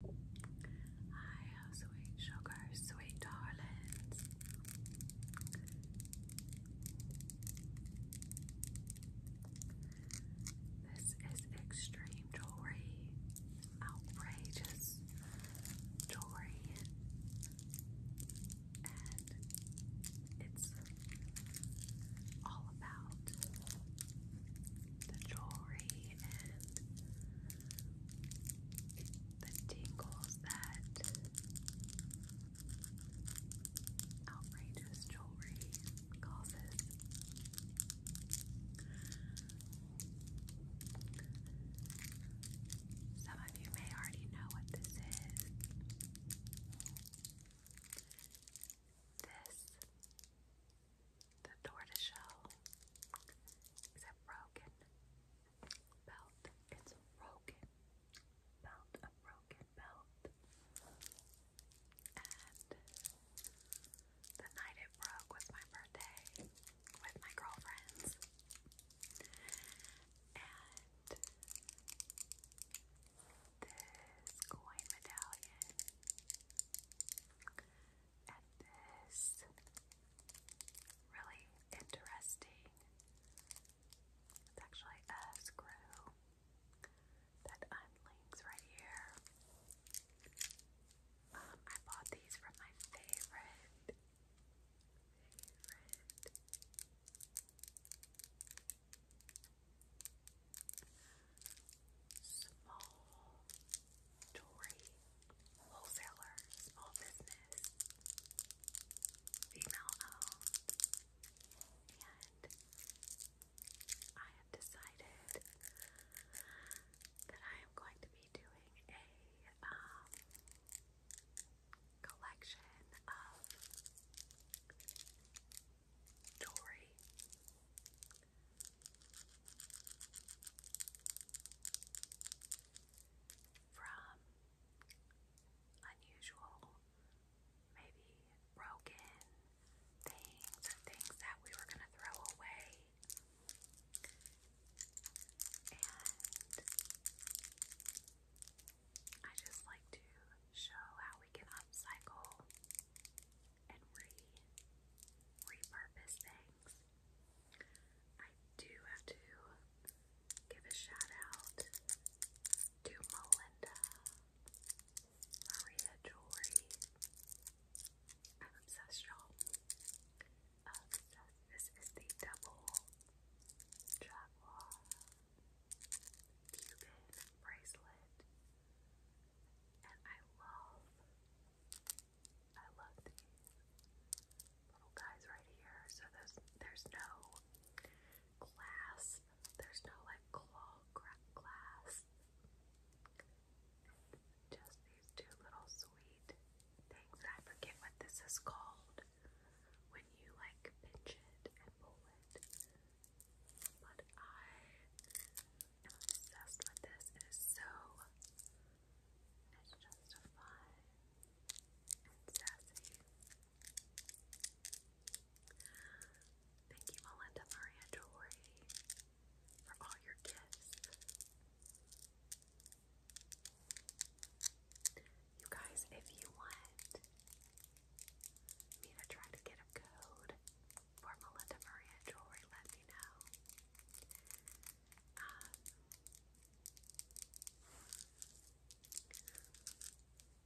Hi, oh sweet sugar, sweet darlings. This is extreme jewelry, outrageous jewelry, and it's all about the jewelry and the tingles that outrageous jewelry causes. Some of you may already know what this is. This the tortoiseshell is a broken belt. It's broken belt, a broken belt. And the night it broke was my birthday with my girlfriends. And this coin medallion and this really interesting. It's actually a screw that unlinks right here. Um, I bought these from my favorite, favorite small Tory wholesaler, small business, female and I have decided that I am going to be doing a um, collection of jewelry. From unusual, maybe broken things or things that we were going to throw away. And I just like to show how we can upcycle and repurpose things. I do have to give a shout out to Melinda Maria Jewelry. I'm obsessed, y'all. Obsessed. This is the double jaguar Cuban bracelet. And I love, I love these little guys right here. So there's, there's no glass, there's no like claw glass. just these two little sweet things. I forget what this is called when you like pinch it and pull it. But I am obsessed with this. It is so, it's just fun and sassy. Thank you, Melinda Maria Dory, for all your gifts. You guys, if you want me to try to get a code for Melinda Maria Jewelry, let me know. Um,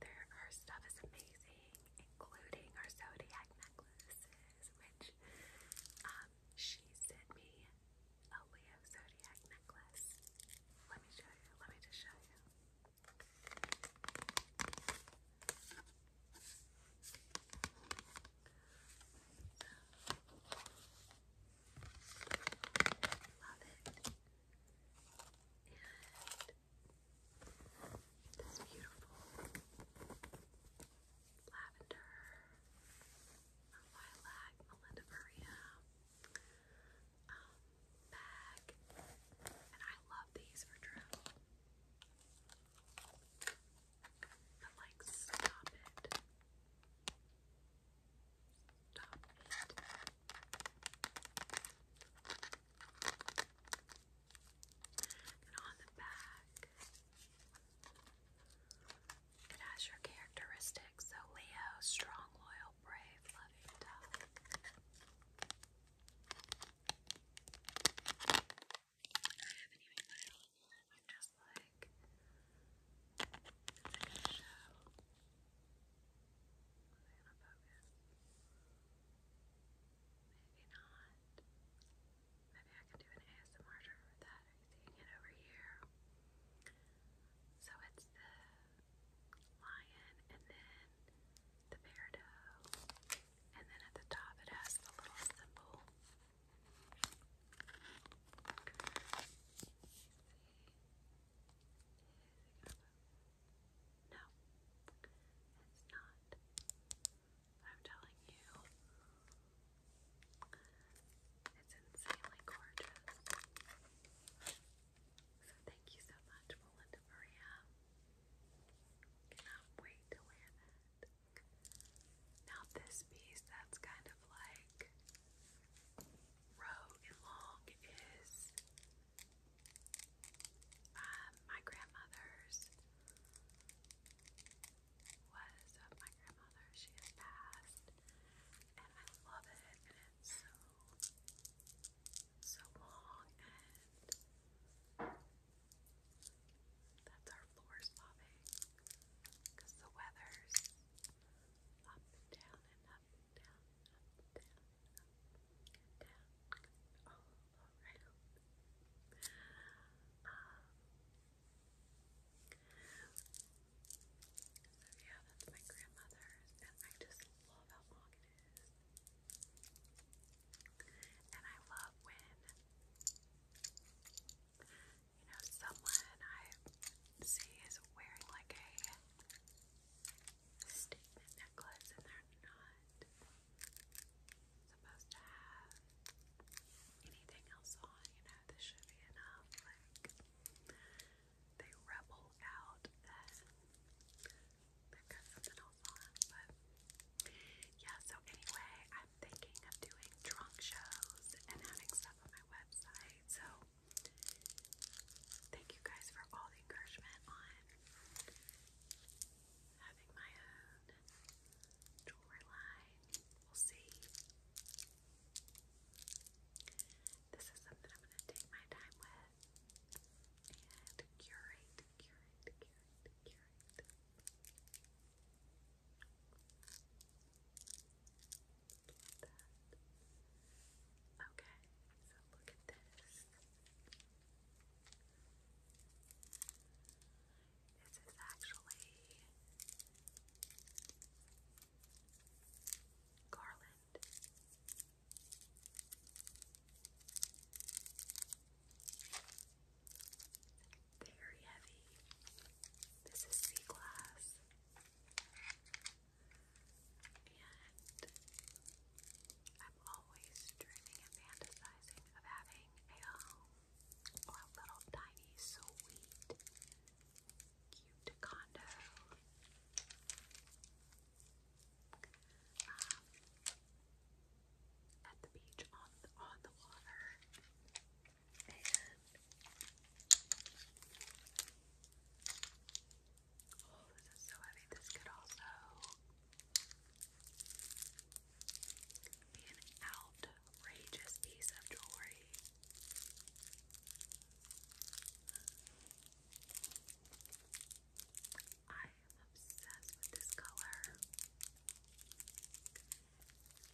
their, stuff is amazing, including her zodiac necklaces, which um, she sent me a Leo zodiac necklace. Let me show you. Let me just show you. Love it. And this beautiful lavender, lilac, Melinda Maria bag. And I love these for travel like stop it. Stop it. And on the back, it has your characteristics. So Leo, strong, loyal, brave, loving, tough haven't even put it on I'm just like, show. Was I gonna focus? Maybe not. Maybe I can do an ASMR trigger that. Are you seeing it over here? So it's the lion and then the peridot. And then at the top it has the little symbol. No, it's not. I'm telling you, it's insanely gorgeous. So, thank you so much, Melinda Maria, Cannot wait to wear that. Now this piece that's kind of like row and long is um, my grandmother's was of uh, my grandmother. She has passed and I love it and it's so so long, and that's our floor swabbing the weather's up and down and up and down, up and down, all around. Um, so yeah, that's my grandmother's, and I just love how long it is. And I love when, you know, someone I see is wearing like a statement necklace and they're not supposed to have anything else on, you know, this should be enough. Like, they rebel out i got something else on, but yeah, so anyway, I'm thinking of doing drunk shows and having stuff on my website. So thank you guys for all the encouragement on having my own jewelry line. We'll see. This is something I'm gonna take my time with and curate, curate, curate, curate. Okay, so look at this. This is actually garland. Very heavy. This is sea glass. And I'm always dreaming and fantasizing of having a little tiny, sweet, cute condo um, at the beach on on the water, and oh, this is so heavy. This could also be an outrageous piece of jewelry. I am obsessed with this color.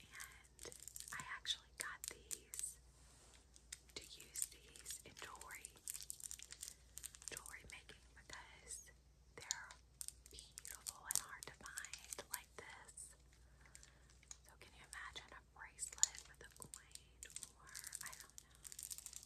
And I actually got these to use these in jewelry, jewelry making because they're beautiful and hard to find like this. So can you imagine a bracelet with a coin or I don't know.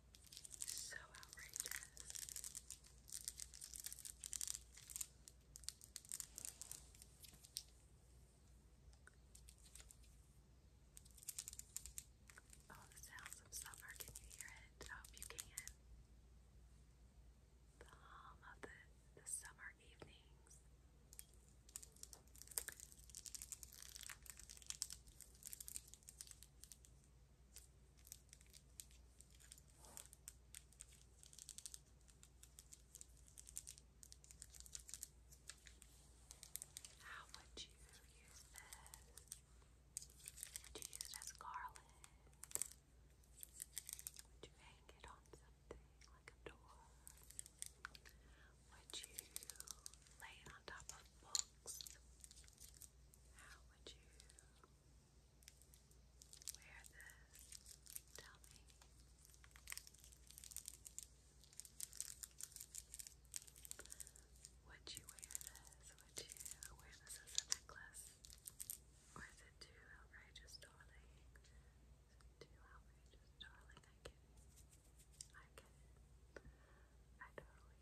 So outrageous. Oh, the sounds of summer. Can you hear it? I hope you can. The hum of the, the summer evenings. How would you use this? Would you use it garland? Would you hang it on something like a door? Would you lay on top of books? How would you wear this? Tell me. Would you wear this? Would you wear this as a necklace? Or is it too outrageous, darling? too outrageous, darling? I get I get I totally get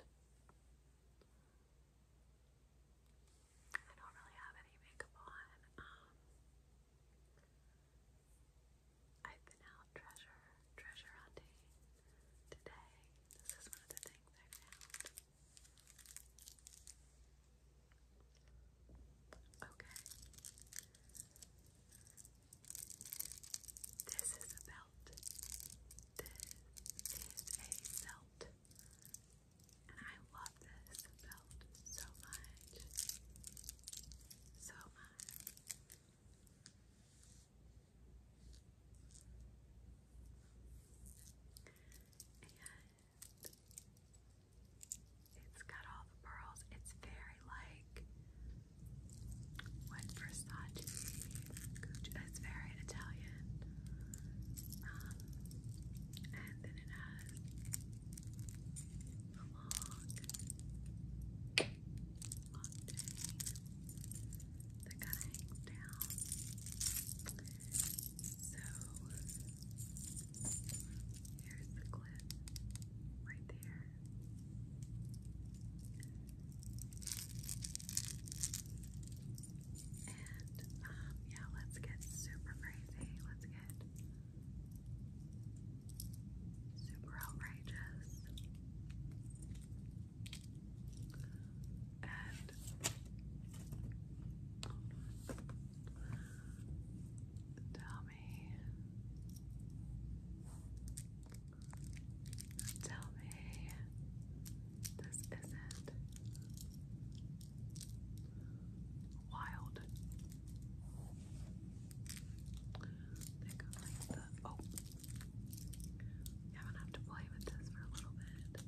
it. I don't really have any makeup on. Um, I've been out treasure treasure hunting today. This is one of the things I found. Okay. This is a belt. This is a belt. And I love this belt so much. So much. And it's got all the pearls. It's very like what Versace? Gucci. It's very Italian. Um, and then it has a long, long thing that kind of hangs down. So here's the clip right there. And um, yeah, let's get super crazy. Let's get super outrageous. And oh, Tell me Tell me this isn't wild. oh, I'm gonna have to play with this for a little bit.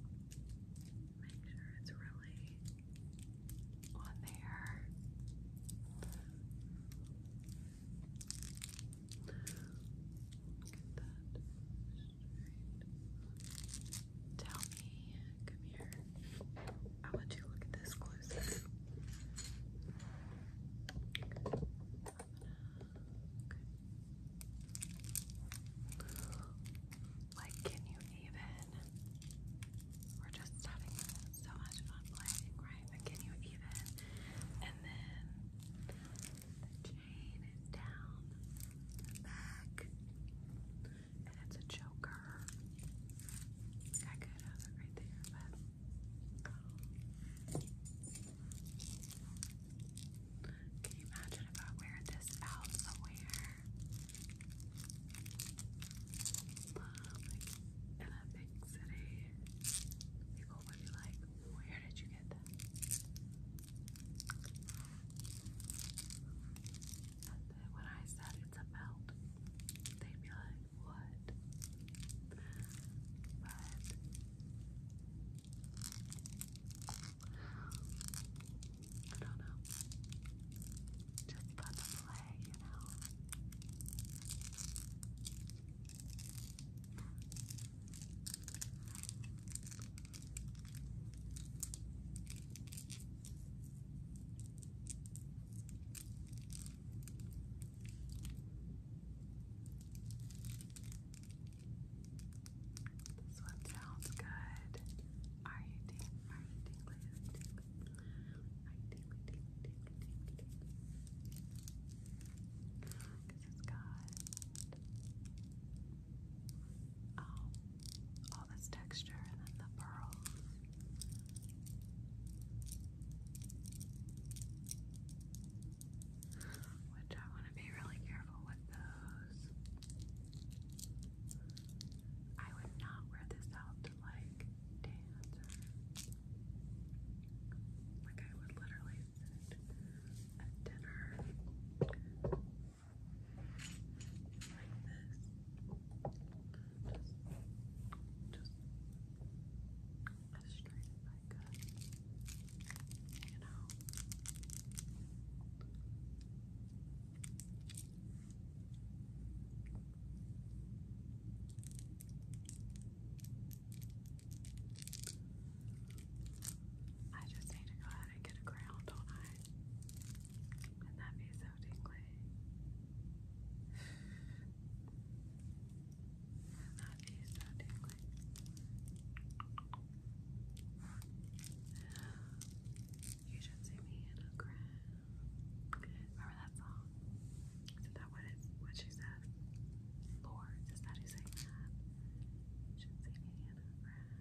Make sure it's really on there. Get that Tell me, come here. I want you look at this closer. Like, can you even? We're just having so much fun playing, right? But can you even and then the chain is down back, and it's a choker. I could have it right there, but can you imagine if I wear this out in a big city, people people would be like, where did you get that? And then when I said it's a melt, they'd be like, what? But I don't know. Just fun to play, you know. This one sounds good. Are you tingling? it's got um, all this texture and then the pearls. Which I want to be really careful with those. I would not wear this out like dancer. Like I would literally sit at dinner like this. Just just as straight as I could. You know. I just need to go ahead and get a crown, don't I? And that'd be so and that'd be so You should see me in a crown. Remember that song? is that what, it's, what she says? Lord, is that who sang that? Should sing Hannah Brown.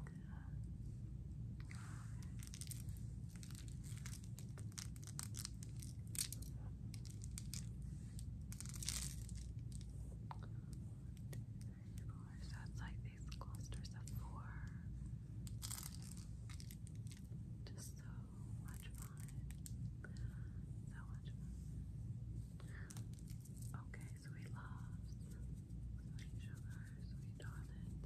Okay. Four. So it's like these clusters of four. Just so much fun. So much fun. Okay, sweet loves, sweet sugar, sweet darling.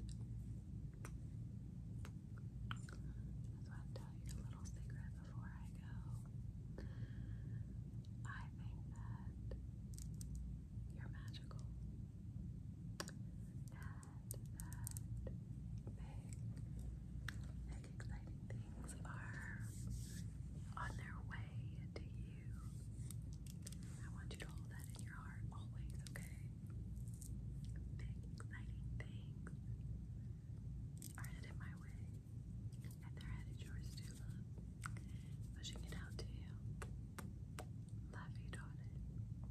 That's why I'm you a little secret before I go. I think that you're magical. And big, exciting things are on their way to you. I want you to hold that in your heart always, okay? Big, exciting things are headed my way, and they're headed yours too, love. Pushing it out to you. Love you, daughter.